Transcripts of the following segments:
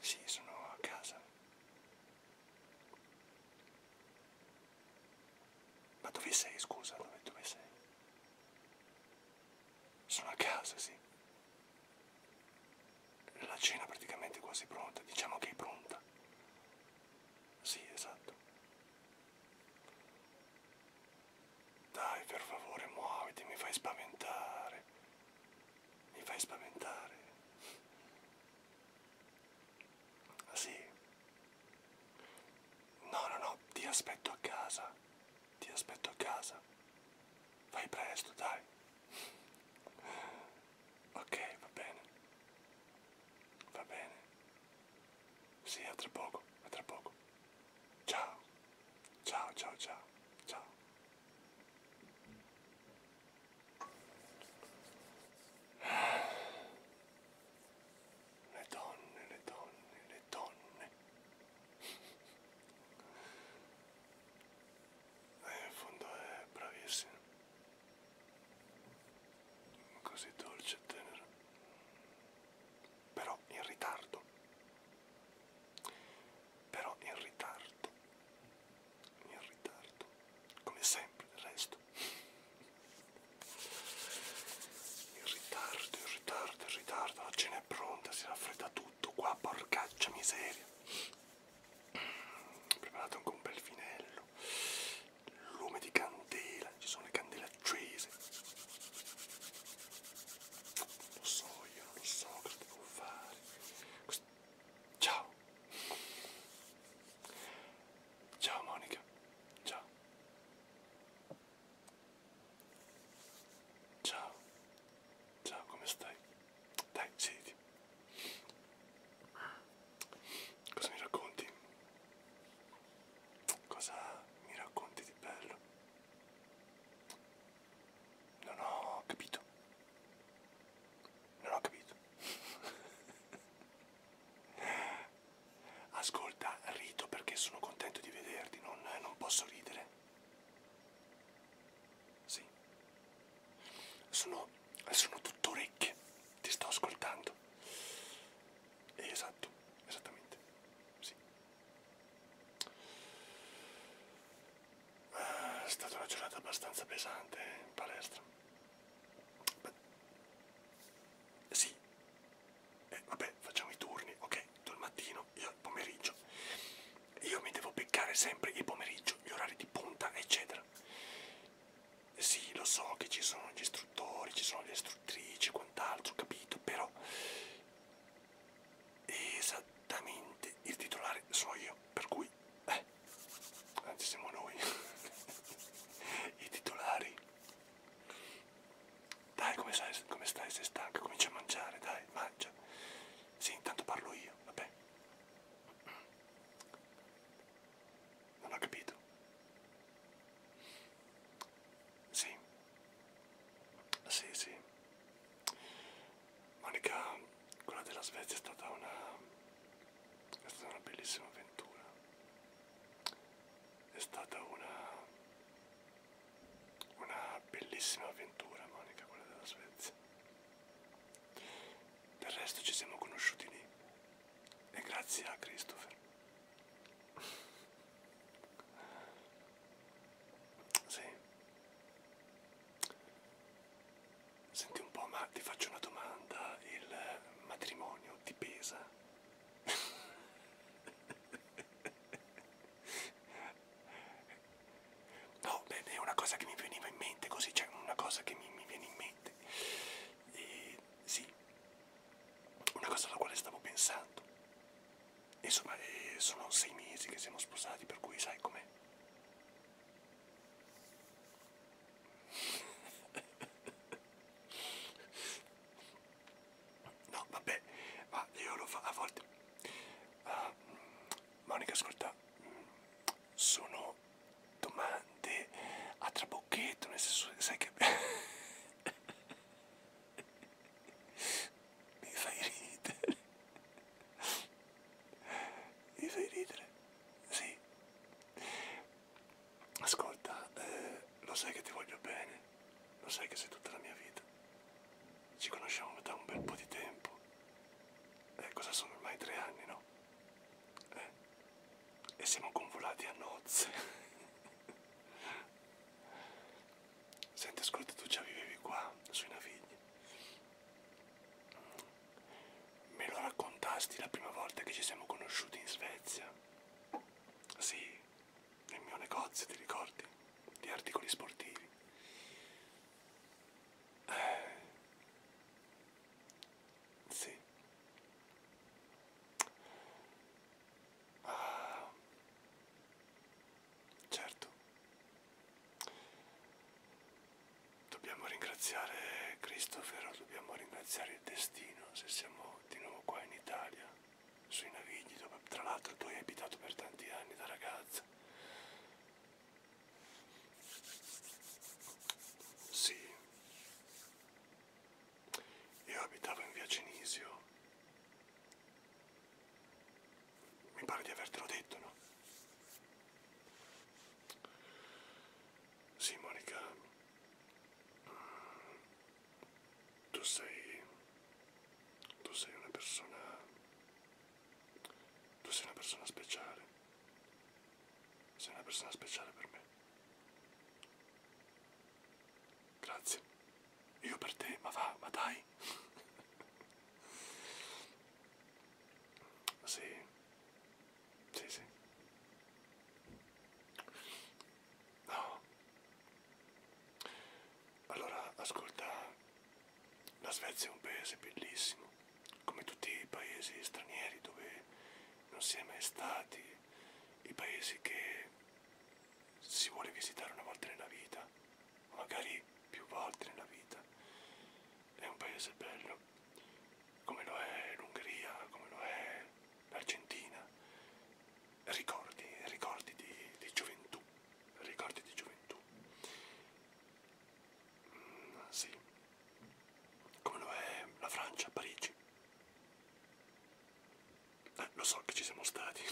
Sì, sono a casa. Ma dove sei, scusa? Dove, dove sei? Sono a casa, sì. La cena praticamente è quasi pronta, diciamo che è pronta. Sì, esatto. Dai, per favore, muoviti, mi fai spaventare. Mi fai spaventare. Ah, sì. No, no, no, ti aspetto a casa. Ti aspetto a casa. Fai presto, dai. Ok, va bene. Va bene. Sì, a tra poco, a tra poco. Ciao. Ciao, ciao, ciao. Ciao. Le donne, le donne, le donne. Eh, in fondo è bravissima. Così dolce e tenera. Però in ritardo però in ritardo, in ritardo, come sempre del resto. In ritardo, in ritardo, in ritardo, la cena è pronta, si raffredda tutto qua, porcaccia miseria. Preparate anche un bel finello, lume di candela, ci sono le candele accese. Lo so, io non lo so cosa devo fare. Questo Ciao. Ciao Monica. Ciao. Ciao. Ciao, come stai? Dai, siediti. Cosa mi racconti? Cosa mi racconti di bello? Non ho capito. Non ho capito. Ascolta, rido perché sono contento di vederti, non, non posso ridere. Sì. Sono, sono tutto orecchie, ti sto ascoltando. Esatto, esattamente. Sì. È stata una giornata abbastanza pesante in palestra. Beh, sì, eh, vabbè, facciamo i turni, ok? Tu il mattino, io il pomeriggio. Io mi devo beccare sempre il pomeriggio, gli orari di punta, eccetera. Sì, lo so che ci sono gli istruttori, ci sono le istruttrici, quant'altro, capito, però esattamente il titolare sono io, per cui, eh, anzi siamo noi, i titolari. Dai, come, sai, come stai? Sei stanca? Comincia a mangiare, dai, mangia. Sì, intanto parlo io, vabbè. Non ho capito. Sì. Sì, sì. Monica, quella della Svezia è stata una, è stata una bellissima avventura, è stata una, una bellissima avventura Monica, quella della Svezia. Del resto ci siamo conosciuti lì e grazie a Christopher. Sì. Senti un po', ma ti faccio una domanda, il matrimonio ti pesa? no, beh, è una cosa che mi veniva in mente così, cioè una cosa che mi, mi viene in mente. E, sì, una cosa alla quale stavo pensando. Insomma, eh, sono sei mesi che siamo sposati, per cui sai com'è. No, vabbè, ma io lo fa a volte. Uh, Monica, ascolta, sono domande a trabocchetto, nel senso, sai che... Mi fai ridere. Mi fai ridere? Sì. Ascolta, eh, lo sai che ti voglio bene, lo sai che sei tutta la mia vita. Ci conosciamo da un bel po' di tempo. Eh, cosa sono ormai tre anni, no? Eh, e siamo convolati a nozze. Senti, ascolta, tu già vivevi qua, sui Navigli. Me lo raccontasti la prima volta che ci siamo conosciuti in Svezia? Sì, nel mio negozio, ti ricordi? Di articoli sportivi. Eh. Sì. Ah. Certo. Dobbiamo ringraziare Cristofero, dobbiamo ringraziare il destino se siamo di nuovo qua in Italia, sui navigli, dove tra l'altro tu hai abitato per tanti anni da ragazza. Sì. Io abitavo in via Cenisio mi pare di avertelo detto, no? Sì, Monica. Mm, tu sei... Tu sei una persona... Tu sei una persona speciale. Sei una persona speciale per me. Grazie. Io per te, ma va, ma dai. sì. Sì, sì. No. Allora, ascolta, la Svezia è un paese bellissimo, come tutti i paesi stranieri dove non si è mai stati, i paesi che si vuole visitare una volta nella vita magari più volte nella vita. È un paese bello, come lo è l'Ungheria, come lo è l'Argentina. Ricordi, ricordi di, di gioventù, ricordi di gioventù. Mm, sì, come lo è la Francia, Parigi. Eh, lo so che ci siamo stati.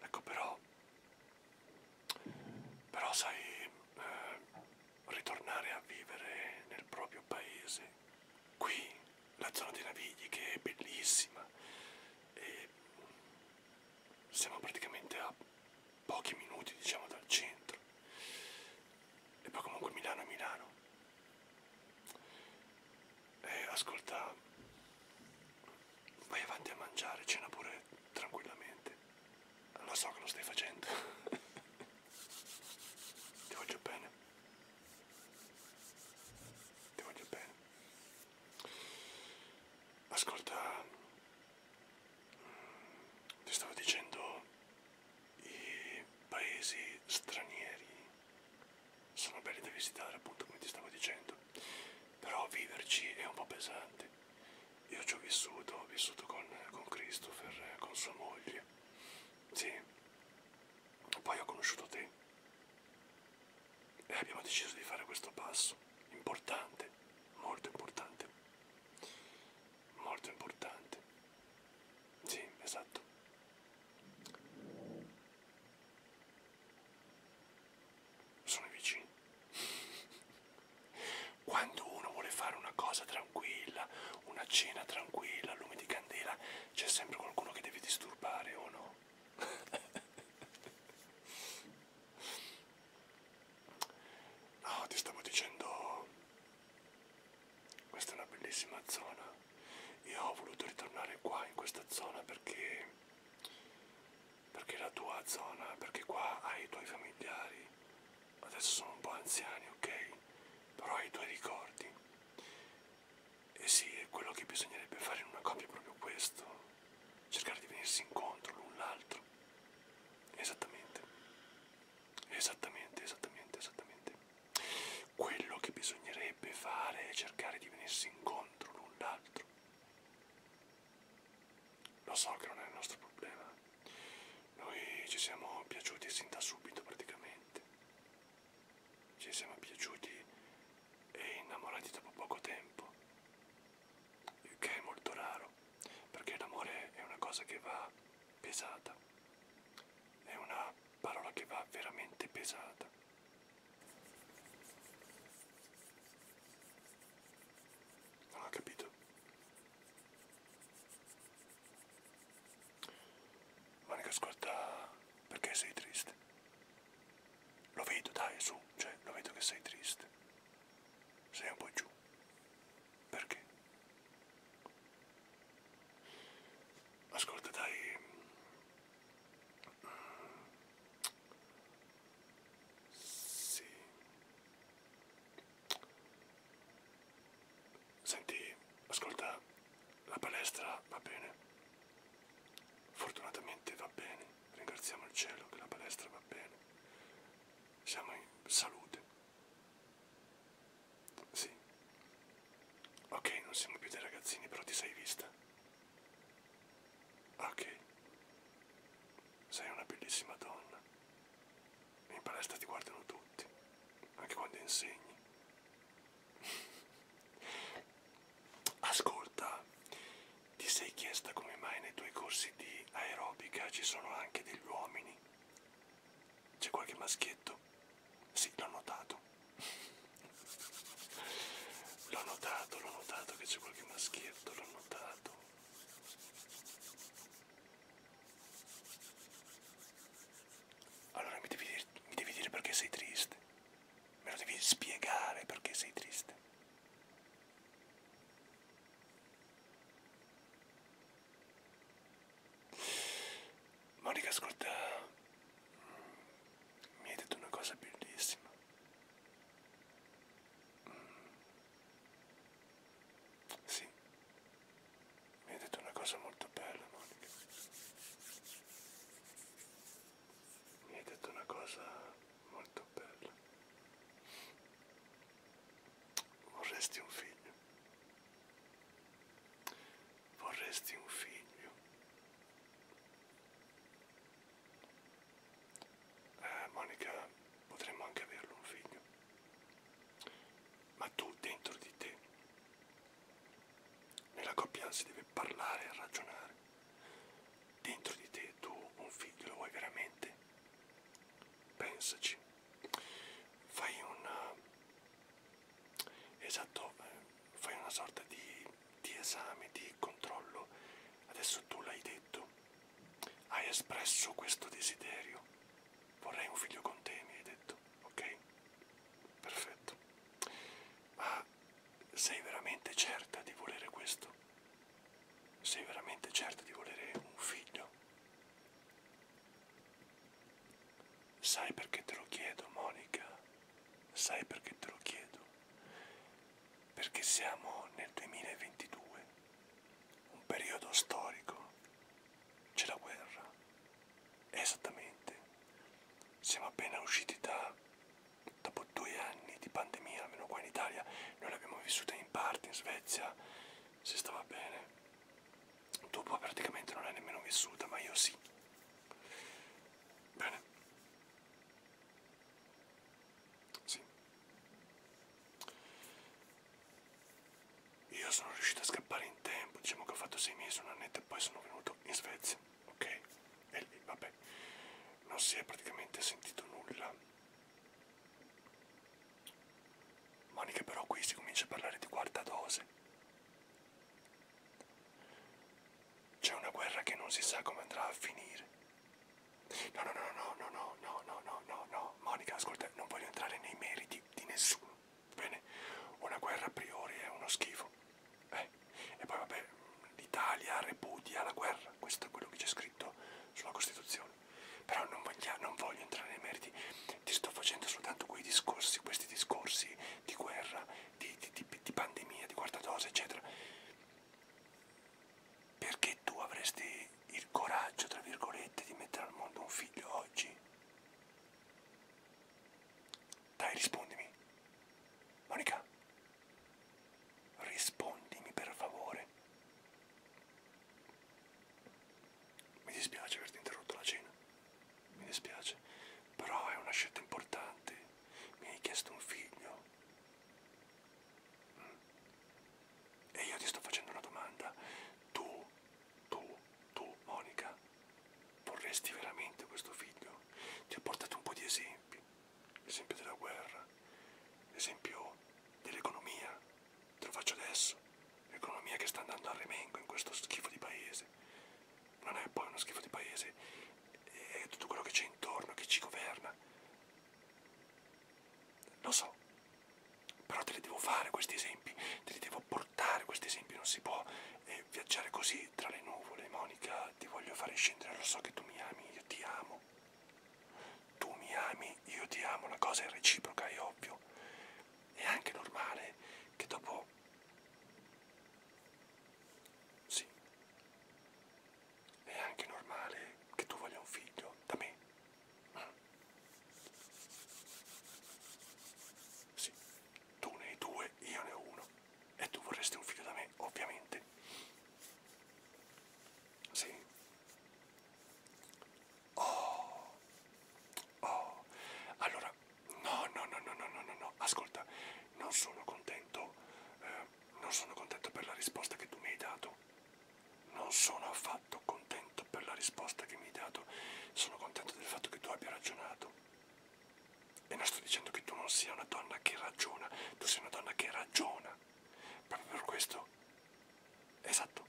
ecco però... Però sai, eh, ritornare a vivere nel proprio paese, qui, la zona dei Navigli che è bellissima e siamo praticamente a pochi minuti diciamo dal centro e poi comunque Milano è Milano eh, ascolta, vai avanti a mangiare, cena pure tranquillamente. Lo so che lo stai facendo. Ti voglio bene. Ti voglio bene. Ascolta, mm, ti stavo dicendo i paesi stranieri sono belli da visitare appunto come ti stavo dicendo però viverci è un po' pesante io ci ho vissuto ho vissuto con, con Christopher con sua moglie sì poi ho conosciuto te e abbiamo deciso di fare questo passo importante molto importante molto importante sì esatto sono vicini. Quando uno vuole fare una cosa tranquilla, una cena tranquilla, lume di candela, c'è sempre qualcuno che deve disturbare o no? No, ti stavo dicendo, questa è una bellissima zona e ho voluto ritornare qua in questa zona perché perché è la tua zona, perché qua hai i tuoi familiari, adesso sono un po' anziani, ok? Però hai i tuoi ricordi. E sì, è quello che bisognerebbe fare in una coppia è proprio questo, cercare di venirsi incontro l'un l'altro. Esattamente, esattamente, esattamente, esattamente. Quello che bisognerebbe fare è cercare di venirsi incontro l'un l'altro. Lo so che non è il nostro problema. Noi ci siamo piaciuti sin da subito praticamente. Ci siamo piaciuti e innamorati dopo poco tempo. Il che è molto raro, perché l'amore è una cosa che va pesata. È una parola che va veramente pesata. Non ho capito. Monica, ascolta, perché sei triste? Lo vedo, dai, su, cioè, lo vedo che sei triste. Sei un po' giù. Perché? Ascolta, dai. Sì. Senti, ascolta, la palestra va bene. Fortunatamente va bene. Ringraziamo il cielo che la palestra va bene. Siamo in salute. Sì. Ok, non siamo più dei ragazzini, però ti sei vista. Ok. Sei una bellissima donna. In palestra ti guardano tutti, anche quando insegni. Ascolta, ti sei chiesta come mai nei tuoi corsi di aerobica ci sono anche degli uomini? C'è qualche maschietto? Sì, l'ho notato. l'ho notato, l'ho notato che c'è qualche maschietto, l'ho notato. Allora mi devi, dire, mi devi dire perché sei triste. Me lo devi spiegare perché sei triste. Monica ascolta mi hai detto una cosa bellissima. Sì, mi hai detto una cosa molto bella, Monica. Mi hai detto una cosa molto bella. Vorresti un figlio? Vorresti un figlio? Eh, Monica, potremmo anche averlo un figlio. Ma tu dentro di te, nella coppia si deve parlare e ragionare. Dentro di te tu un figlio lo vuoi veramente? Pensaci. Fai una Esatto, eh, fai una sorta di, di esame, di controllo. Adesso tu l'hai detto, hai espresso questo desiderio. Vorrei un figlio con te, mi hai detto, ok? Perfetto. Ma sei veramente certa di volere questo? Sei veramente certa di volere un figlio? Sai perché te lo chiedo, Monica? Sai perché te lo chiedo? Perché siamo nel 2022, un periodo storico. C'è la guerra. Esattamente. Siamo appena usciti da dopo due anni di pandemia, almeno qua in Italia, noi l'abbiamo vissuta in parte, in Svezia si stava bene dopo praticamente non è nemmeno vissuta, ma io sì. Bene. Sì. Io sono riuscito a scappare in tempo, diciamo che ho fatto sei mesi, un annetto e poi sono venuto in Svezia, ok? E lì, vabbè, non si è praticamente sentito nulla. Monica però qui si comincia a parlare di quarta dose. C'è una guerra che non si sa come andrà a finire. No, no, no, no, no, no, no, no, no, no, no. Monica, ascolta, non voglio entrare nei meriti di nessuno. Bene, una guerra a priori è uno schifo. Eh, e poi vabbè, l'Italia repudia la guerra, questo è quello che c'è scritto sulla Costituzione. Però non voglio, non voglio entrare nei meriti, ti sto facendo soltanto quei discorsi, questi discorsi crisi, di guerra, di, di, di, di pandemia, di quarta dose, eccetera. Perché tu avresti il coraggio, tra virgolette, di mettere al mondo un figlio oggi? Dai, rispondimi. Monica, rispondimi per favore. Mi dispiace averti interrotto la cena mi dispiace, però è una scelta importante. Mi hai chiesto un figlio. Mm. E io ti sto facendo una domanda. Tu, tu, tu, Monica, vorresti veramente questo figlio? Ti ho portato un po' di esempi. L'esempio della guerra, l'esempio dell'economia. Te lo faccio adesso l'economia che sta andando a remengo in questo schifo di paese, non è poi uno schifo di paese, è tutto quello che c'è intorno, che ci governa. Lo so, però te li devo fare questi esempi, te li devo portare questi esempi, non si può eh, viaggiare così tra le nuvole. Monica, ti voglio fare scendere, lo so che tu mi ami, io ti amo. Tu mi ami, io ti amo, la cosa è reciproca, è ovvio. È anche normale che dopo sì. È anche normale che tu voglia un figlio da me. Mm. Sì, tu ne hai due, io ne ho uno. E tu vorresti un figlio da me, ovviamente. Sì. Oh, oh. Allora, no, no, no, no, no, no, no, ascolta, non sono contento, eh, non sono contento per la risposta che tu mi hai dato, non sono affatto contento per la risposta che mi hai dato, sono contento del fatto che tu abbia ragionato. E non sto dicendo che tu non sia una donna che ragiona, tu sei una donna che ragiona. Proprio per questo. Esatto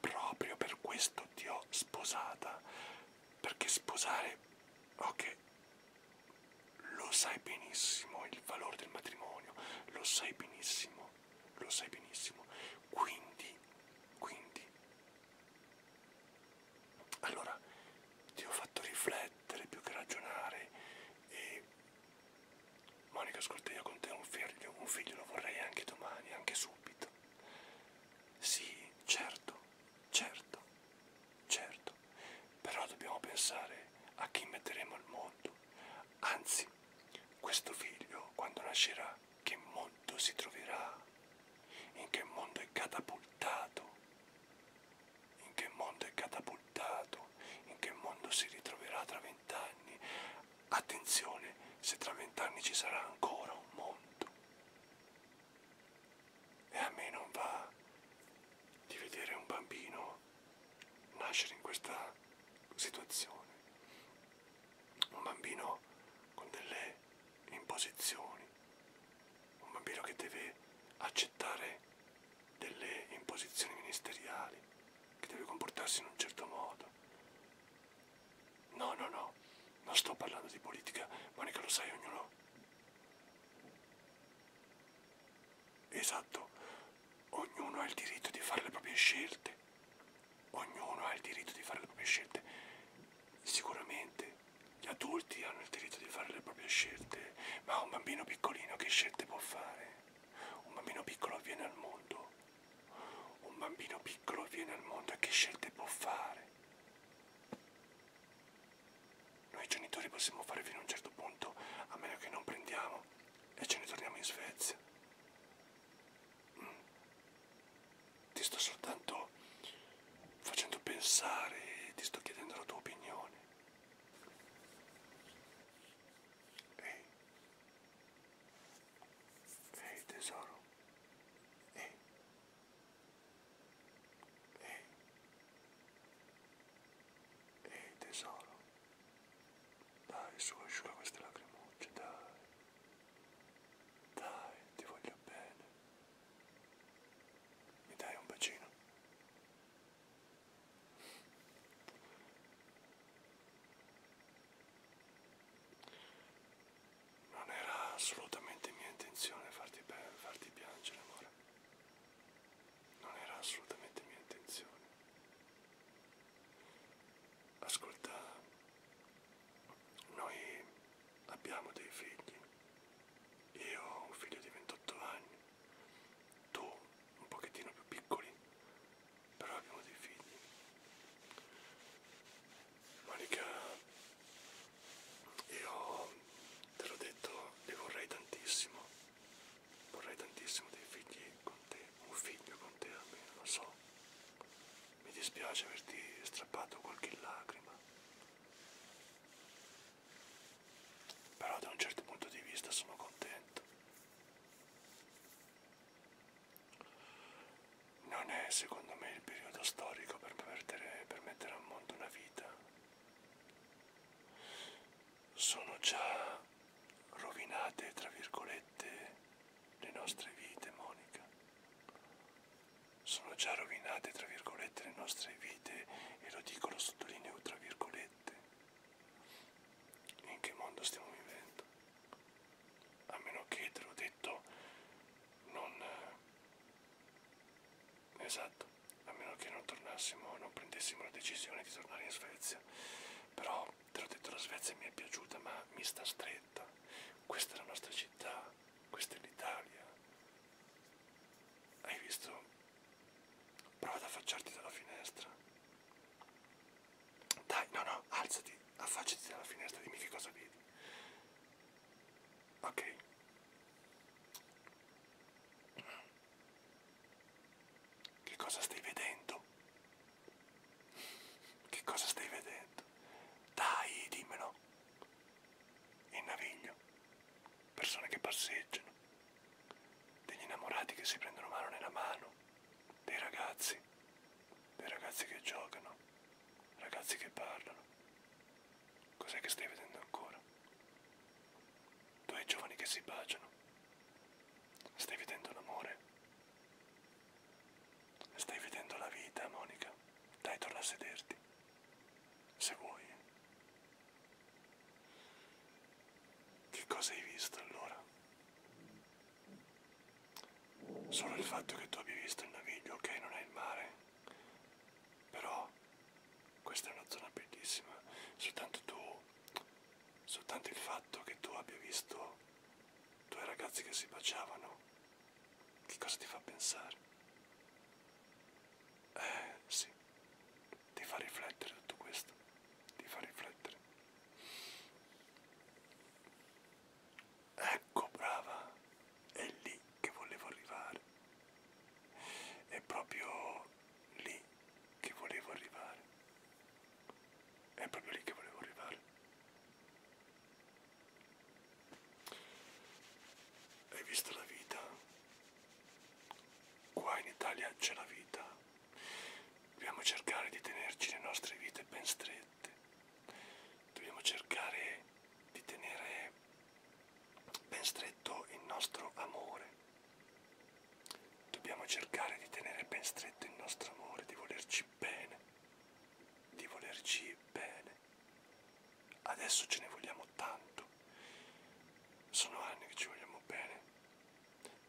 proprio per questo ti ho sposata, perché sposare, ok, lo sai benissimo il valore del matrimonio, lo sai benissimo, lo sai benissimo, quindi, quindi, allora ti ho fatto riflettere più che ragionare e Monica Scortea con te un figlio, un figlio lo vorrei anche domani, anche subito detto. Sì, certo, certo, certo, però dobbiamo pensare a chi metteremo al mondo. Anzi, questo figlio, quando nascerà, che mondo si troverà? In che mondo è catapultato? In che mondo è catapultato? In che mondo si ritroverà tra vent'anni? Attenzione, se tra vent'anni ci sarà ancora un mondo. E a me non va di vedere un bambino nascere in questa situazione. Un bambino con delle imposizioni. Un bambino che deve accettare delle imposizioni ministeriali, che deve comportarsi in un certo modo, No, no, no, non sto parlando di politica, Monica lo sai, ognuno. Esatto, ognuno ha il diritto di fare le proprie scelte, ognuno ha il diritto di fare le proprie scelte. Sicuramente gli adulti hanno il diritto di fare le proprie scelte, ma un bambino piccolino che scelte può fare? Un bambino piccolo viene al mondo un bambino piccolo viene al mondo e che scelte può fare? Noi genitori possiamo fare fino a un certo punto, a meno che non prendiamo e ce ne torniamo in Svezia. Mm. Ti sto soltanto facendo pensare e ti sto chiedendo la tua opinione. Ehi. Ehi tesoro. Ehi, ehi tesoro, dai su, asciuga queste lacrimucce, dai, dai, ti voglio bene, mi dai un bacino? Non era assolutamente mia intenzione farti, farti piangere, amore. Non era assolutamente mia intenzione. Ascolta, noi abbiamo dei figli. Io ho un figlio di 28 anni, tu un pochettino più piccoli, però abbiamo dei figli. Monica, io te l'ho detto, li vorrei tantissimo, vorrei tantissimo dei figli con te, un figlio con te almeno, lo so. Mi dispiace averti strappato qualche lacrima, però da un certo punto di vista sono contento. Non è secondo me il periodo storico per permettere, per mettere al mondo una vita. Sono già rovinate, tra virgolette, le nostre vite, Monica. Sono già rovinate, tra virgolette, le nostre vite e lo dico, lo sottolineo, tra virgolette. In che mondo stiamo vivendo? a meno che te l'ho detto non eh, esatto a meno che non tornassimo non prendessimo la decisione di tornare in Svezia però te l'ho detto la Svezia mi è piaciuta ma mi sta stretta questa è la nostra città questa è l'Italia hai visto prova ad affacciarti dalla finestra dai, no, no, alzati, affacciati dalla finestra, dimmi che cosa vedi. Ok. Che cosa stai vedendo? Che cosa stai vedendo? Dai, dimmelo. Il naviglio. Persone che passeggiano. Degli innamorati che si prendono mano nella mano. Dei ragazzi dei ragazzi che giocano, ragazzi che parlano. Cos'è che stai vedendo ancora? Due giovani che si baciano. Stai vedendo l'amore? Stai vedendo la vita, Monica? Dai, torna a sederti. Se vuoi. Che cosa hai visto allora? Solo il fatto che tu abbia visto il naviglio, ok, non è il mare, però questa è una zona bellissima. Soltanto tu, soltanto il fatto che tu abbia visto due ragazzi che si baciavano, che cosa ti fa pensare? Eh sì, ti fa riflettere tutto questo, ti fa riflettere. Ecco brava, è lì che volevo arrivare. È proprio lì che volevo arrivare. È proprio lì che volevo arrivare. Hai visto la vita? Qua in Italia c'è la vita. Dobbiamo cercare di tenerci le nostre vite ben strette, dobbiamo cercare di tenere ben stretto il nostro amore, dobbiamo cercare di tenere ben stretto il nostro amore, di volerci bene, di volerci bene. Adesso ce ne vogliamo tanto, sono anni che ci vogliamo bene,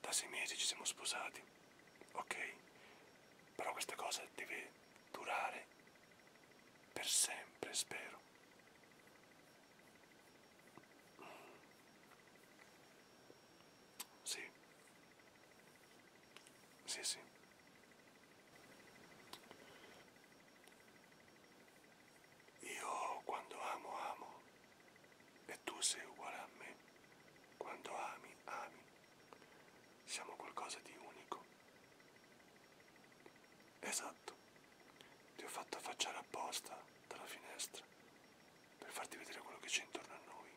da sei mesi ci siamo sposati, ok? Però questa cosa deve durare per sempre, spero. Sì. Sì, sì. Io quando amo, amo. E tu sei uguale a me. Quando ami, ami. Siamo qualcosa di unico. Esatto. Ti ho fatto affacciare apposta dalla finestra per farti vedere quello che c'è intorno a noi.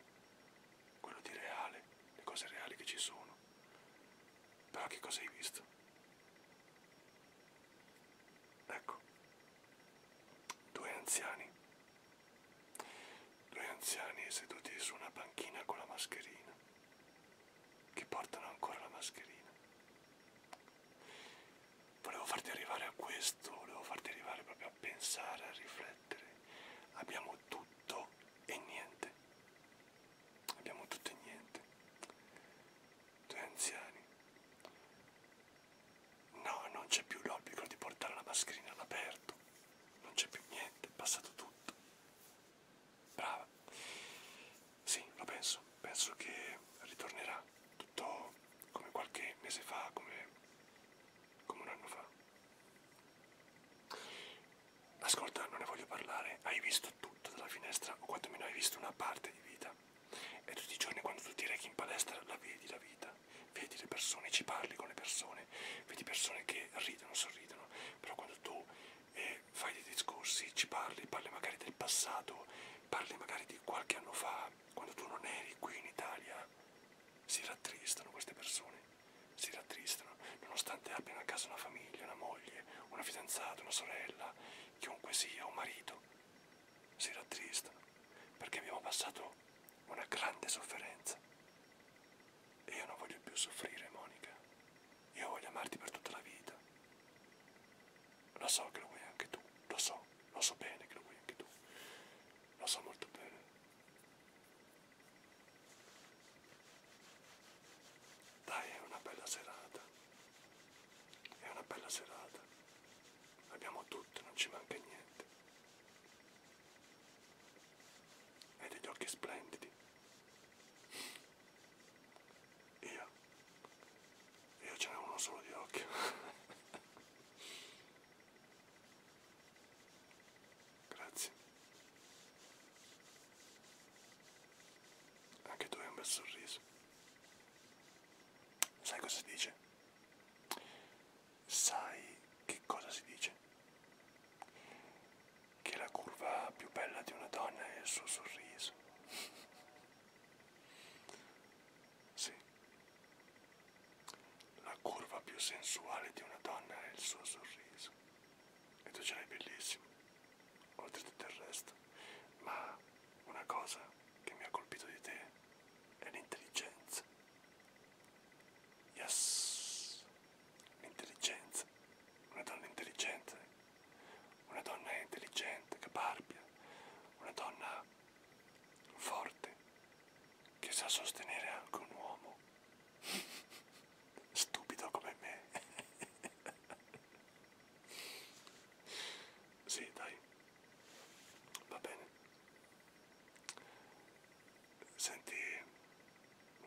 Quello di reale, le cose reali che ci sono. Però che cosa hai visto? Ecco. Due anziani Due anziani seduti su una panchina con la mascherina, che portano ancora la mascherina. Volevo farti arrivare a questo, volevo farti arrivare proprio a pensare, a riflettere. Abbiamo tutto e niente. Abbiamo tutto e niente. Due anziani No, non c'è più l'obbligo di portare la mascherina all'aperto. Non c'è più niente, è passato tutto. Brava. Sì, lo penso. Penso che ritornerà tutto come qualche mese fa, come, come un anno fa. Ascolta, non ne voglio parlare. Hai visto tutto dalla finestra, o quantomeno hai visto una parte di vita. E tutti i giorni quando tu ti rechi in palestra la vedi la vita vedi le persone, ci parli con le persone, vedi persone che ridono, sorridono, però quando tu eh, fai dei discorsi, ci parli, parli magari del passato, parli magari di qualche anno fa, quando tu non eri qui in Italia, si rattristano queste persone, si rattristano, nonostante abbiano a casa una famiglia, una moglie, una fidanzata, una sorella, chiunque sia, un marito, si rattristano perché abbiamo passato una grande sofferenza. E io non voglio più soffrire, Monica. Io voglio amarti per tutta la vita. Lo so che lo vuoi anche tu, lo so, lo so bene che lo vuoi anche tu. Lo so molto bene. Dai, è una bella serata. È una bella serata. Abbiamo tutto, non ci manca niente e degli occhi splendidi. Io, io ce n'è uno solo di occhio. Grazie. Anche tu hai un bel sorriso. Sai cosa si dice? sai che cosa si dice? Che la curva più bella di una donna è il suo sorriso. sì. La curva più sensuale di una donna è il suo sorriso. E tu ce l'hai bellissimo, oltre tutto il resto. Ma una cosa che mi ha colpito di te è l'intelligenza. Yes, l'intelligenza, una donna intelligente, una donna intelligente, caparbia, una donna forte che sa sostenere anche un uomo stupido come me. sì, dai. Va bene. Senti,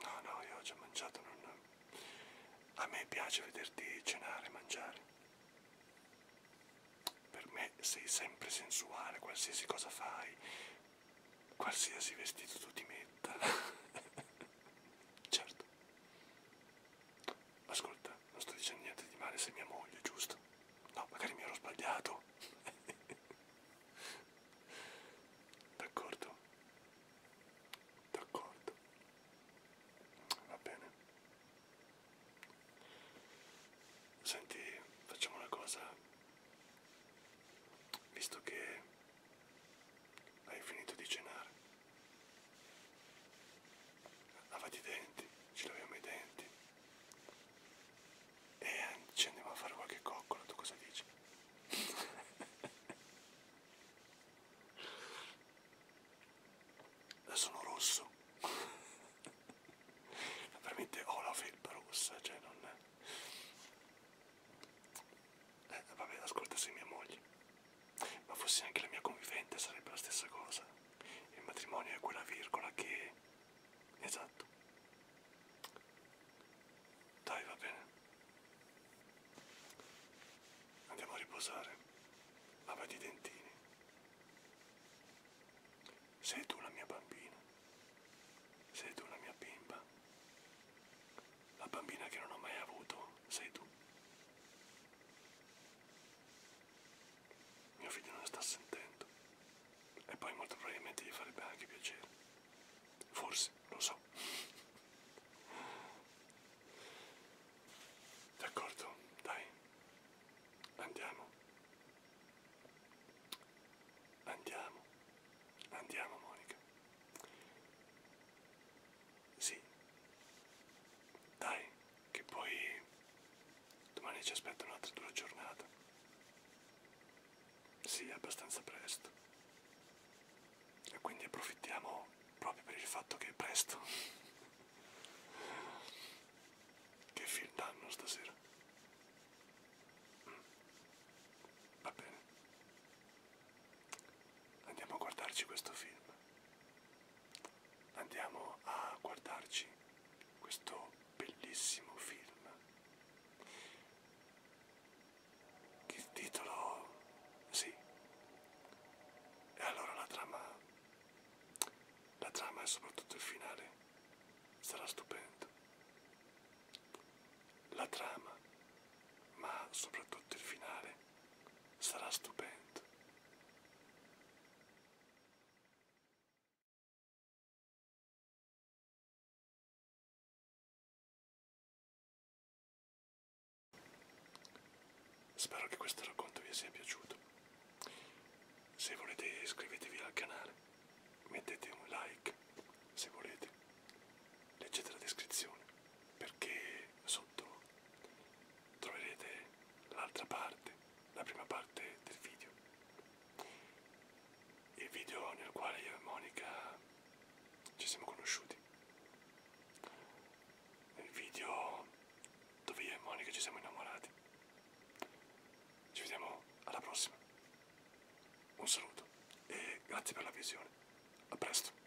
no, no, io ho già mangiato, non... A me piace vederti cenare e mangiare. Per me sei sempre sensuale, qualsiasi cosa fai, qualsiasi vestito tu ti metta. certo. Ascolta, eccetera. Non sto dicendo niente di male se mia moglie, giusto? No, magari mi ero sbagliato. D'accordo? D'accordo. Va bene. Senti, facciamo una cosa. Visto che hai finito di cenare, lavati i denti, ci laviamo i denti. E eh, ci andiamo a fare qualche coccola, tu cosa dici? Eh, sono rosso. Veramente ho la felpa rossa, cioè non... Eh, vabbè, ascolta, sei mia moglie. Ma fossi anche la mia convivente sarebbe la stessa cosa. Il matrimonio è quella virgola che... Esatto. Dai, va bene. Andiamo a riposare. Lavati i dentini. Sei tu la mia bambina. Sei tu la mia bimba. La bambina che non ho mai avuto, sei tu mio figlio non sta sentendo e poi molto probabilmente gli farebbe anche piacere forse lo so d'accordo dai andiamo andiamo andiamo Monica sì dai che poi domani ci aspetta un'altra dura giornata. Sì, abbastanza presto. E quindi approfittiamo proprio per il fatto che è presto. che film danno stasera? Mm. Va bene. Andiamo a guardarci questo film andiamo a guardarci questo bellissimo film che il titolo sì e allora la trama la trama e soprattutto il finale sarà stupendo la trama ma soprattutto il finale sarà stupendo Spero che questo racconto vi sia piaciuto. Se volete iscrivetevi al canale, mettete un like se volete, leggete la descrizione perché sotto troverete l'altra parte la prima parte del video. Il video nel quale io e Monica ci siamo conosciuti. Il video dove io e Monica ci siamo innamorati. Ci vediamo alla prossima. Un saluto e grazie per la visione. A presto.